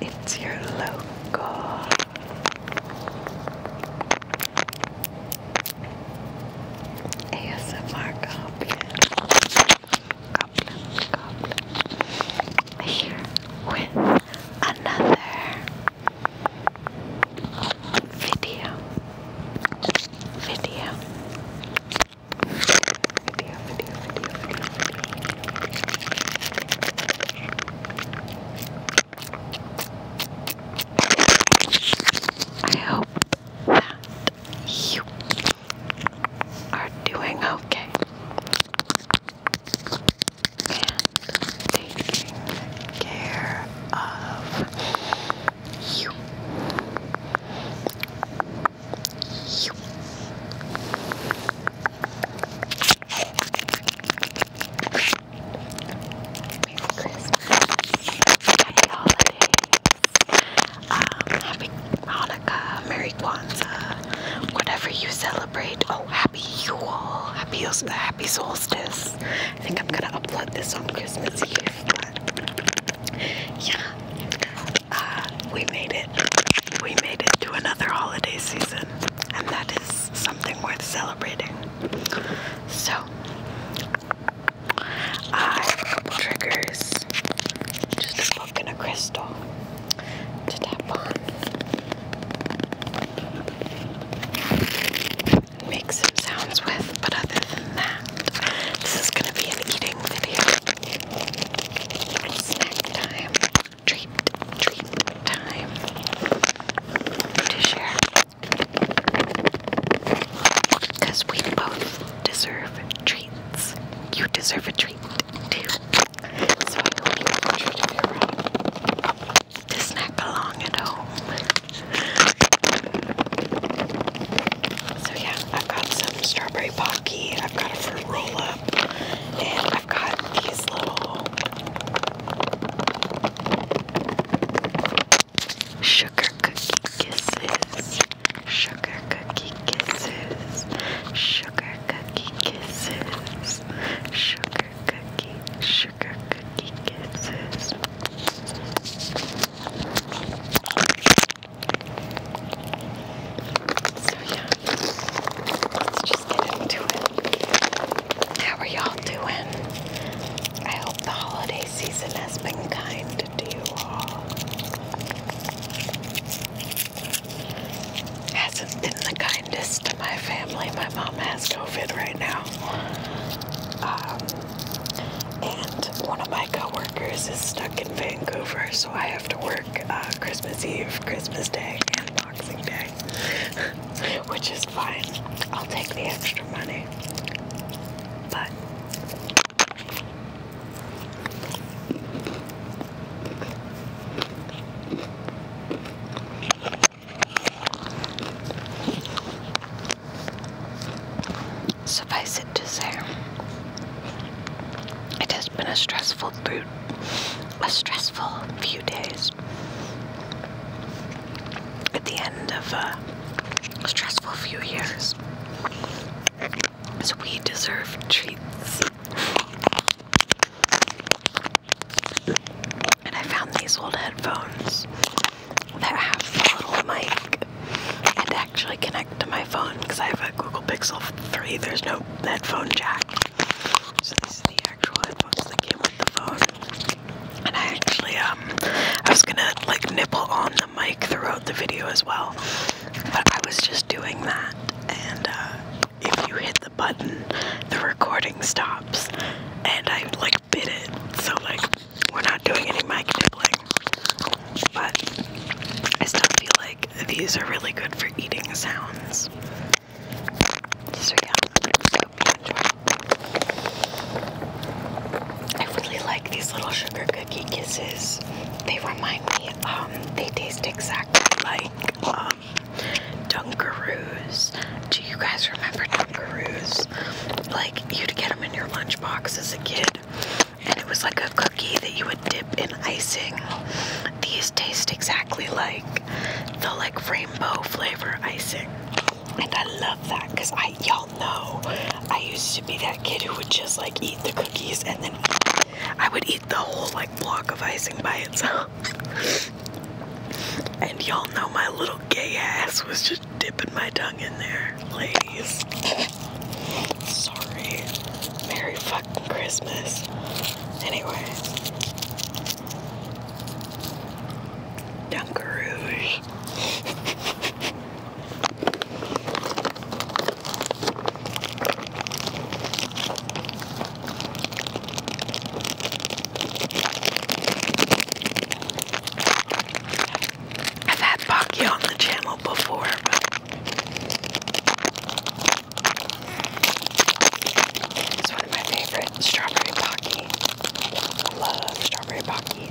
It's your local ASMR goblin. Goblin, goblin. Here with another video. Video. I hope that you are doing okay and taking care of you. Merry Christmas. Happy holidays. Um, happy Hanukkah. Merry Kwanzaa. Whatever you celebrate. Oh, happy Yule. Happy, happy solstice. I think I'm gonna upload this on Christmas Eve. But yeah. Uh, we made it. We made it to another holiday season, and that is something worth celebrating. So, I have a couple triggers, just a book and a crystal to tap on, make some sounds with. But other than that, this is gonna be an eating video. Snack time. Treat, treat time. To share. Because we both deserve treats. You deserve a treat too. So I hope you can treat to snack along at home. So yeah, I've got some strawberry pocky, I've got a fruit roll up, and I've got these little sugar cookie kisses. Sugar cookie kisses. Sugar cookie kisses. Sugar cookie, sugar cookie kisses. So yeah, let's just get into it. How are y'all doing? I hope the holiday season has been kind to you all. Hasn't been the kindest to my family. My mom has COVID right now. Um, and one of my coworkers is stuck in Vancouver, so I have to work uh, Christmas Eve, Christmas Day, and Boxing Day, which is fine. I'll take the extra money, but. Suffice it to say, it has been a stressful through a stressful few days. At the end of a stressful few years, so we deserve treats. And I found these old headphones that have a little mic and actually connect to my phone because I have a Google Pixel 3. There's no headphone jack. So this is the actual headphones that came with the phone. And I actually, um, I was gonna like nipple on the mic throughout the video as well, but I was just doing that. And uh, if you hit the button, the recording stops. And I like bit it, so like we're not doing any mic nibbling. But I still feel like these are really good for eating sounds. So yeah, I really like these little sugar cookie kisses. They remind me, um, they taste exactly like um, Dunkaroos. Do you guys remember Dunkaroos? Like, you'd get them in your lunchbox as a kid, and it was like a cookie that you would dip in icing. These taste exactly like the like rainbow flavor icing. And I love that because I y'all know I used to be that kid who would just like eat the cookies and then I would eat the whole like block of icing by itself. and y'all know my little gay ass was just dipping my tongue in there, please. Sorry. Merry fucking Christmas. Anyway. Dunkarouge. i had Baki on the channel it's one of my favorite strawberry pocky. I love strawberry pocky.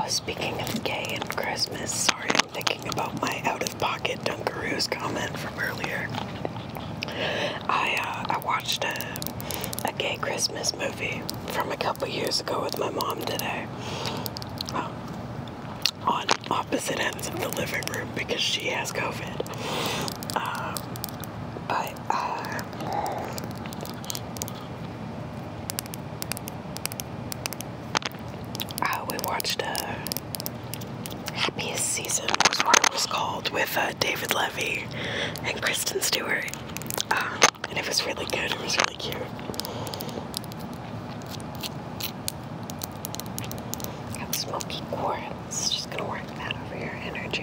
Oh, speaking of gay and Christmas, sorry, I'm thinking about my out-of-pocket Dunkaroos comment from earlier. I uh, I watched a a gay Christmas movie from a couple years ago with my mom today. Um, on opposite ends of the living room because she has COVID. Um, they uh, we watched uh, Happiest Season, was what it was called, with uh, David Levy and Kristen Stewart. Um, and it was really good, it was really cute. smoky quartz, just gonna work that over your energy.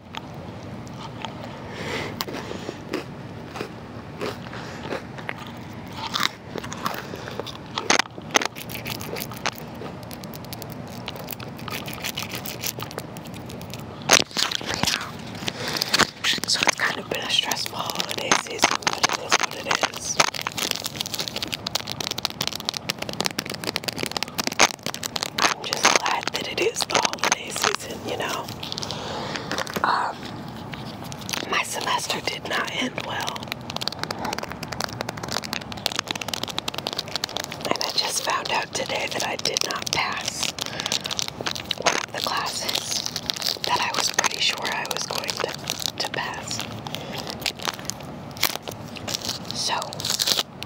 So it's kind of been a stressful holiday season, but it is what it is. I'm just glad that it is the holiday season, you know. Um, my semester did not end well. And I just found out today that I did not pass the classes that I was pretty sure I was going to pass. So, we're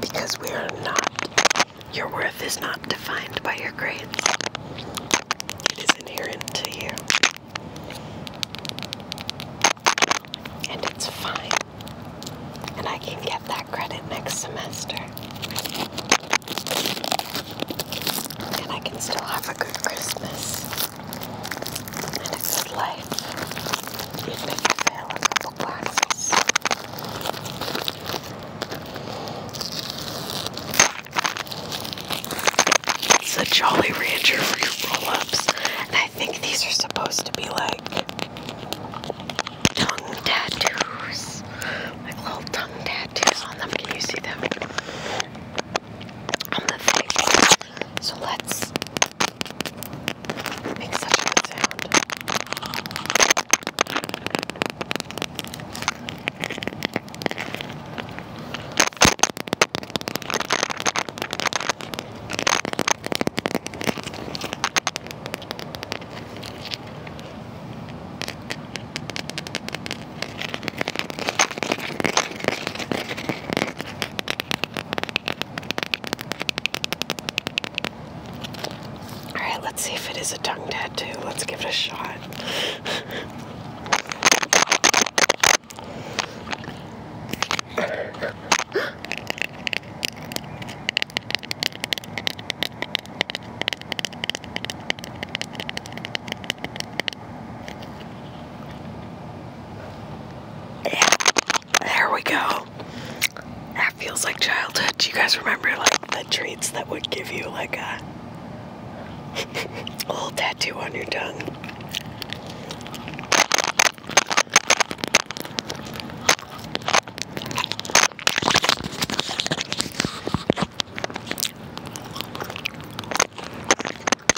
because we are not, your worth is not defined by your grades, it is inherent to you. And it's fine. And I can get that credit next semester and I can still have a good Christmas and a life, even if you fail a It's a Jolly Rancher for your roll-ups, and I think these are supposed to be like tongue tattoos, like little tongue tattoos on them. Can you see them? I'm the favorite. So let's make such a good sound. All right, let's see if it is a tongue tattoo. Let's give it a shot there we go. That feels like childhood. you guys remember like the treats that would give you like a little tattoo on your tongue?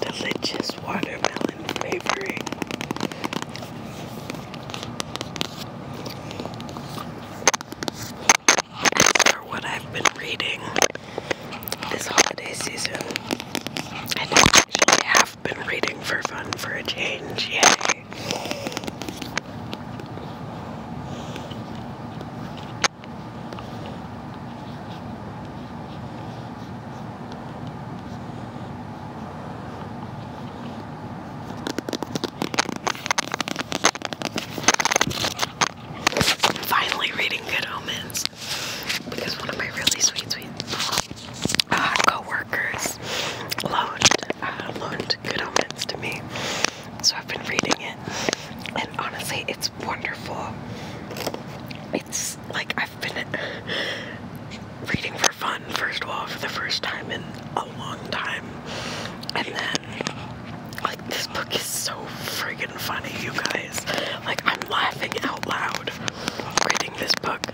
Delicious watermelon flavoring. for what I've been reading this holiday season, and I actually have been reading for fun for a change, yay way. Finally reading Good Omens because one of my really sweet, sweet uh, co-workers loaned, uh, loaned Good Omens to me. So I've been reading it, and honestly, it's wonderful. It's like I've been reading for fun, first of all, for the first time in a long time, and then, like, this book is so friggin' funny, you guys. Like, I'm laughing out loud reading this book.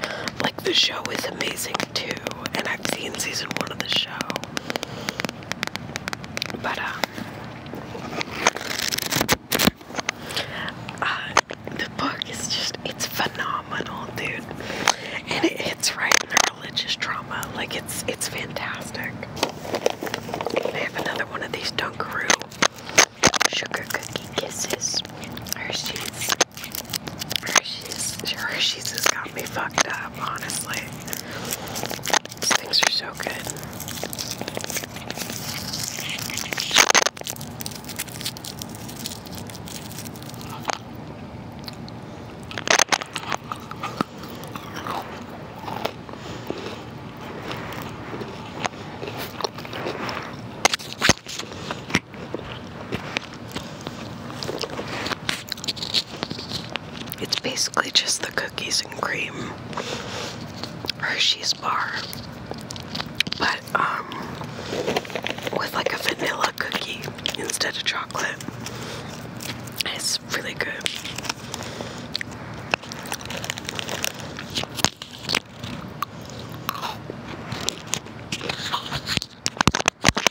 like the show is amazing too, and I've seen season one of the show. But um, uh, the book is just—it's phenomenal, dude, and it hits right in the religious trauma. Like it's—it's fantastic. I have another one of these Dunkaroo sugar cookie kisses. Hershey's. Hershey's, Hershey's has got me fucked up, honestly. things are so good. It's basically just the cookies and cream Hershey's bar, but um, with like a vanilla cookie instead of chocolate. It's really good.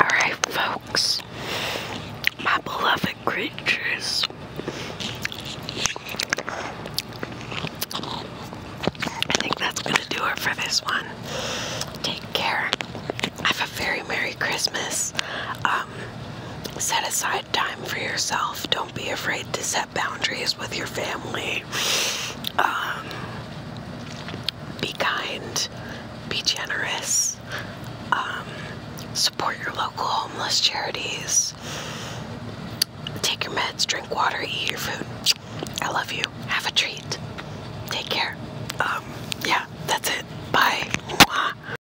Alright, folks, my beloved creatures. I think that's going to do it for this one. Take care. Have a very Merry Christmas. Um, set aside time for yourself. Don't be afraid to set boundaries with your family. Um, be kind, be generous, um, support your local homeless charities, take your meds, drink water, eat your food. I love you. Have a treat. Take care. Um, yeah, that's it. Bye.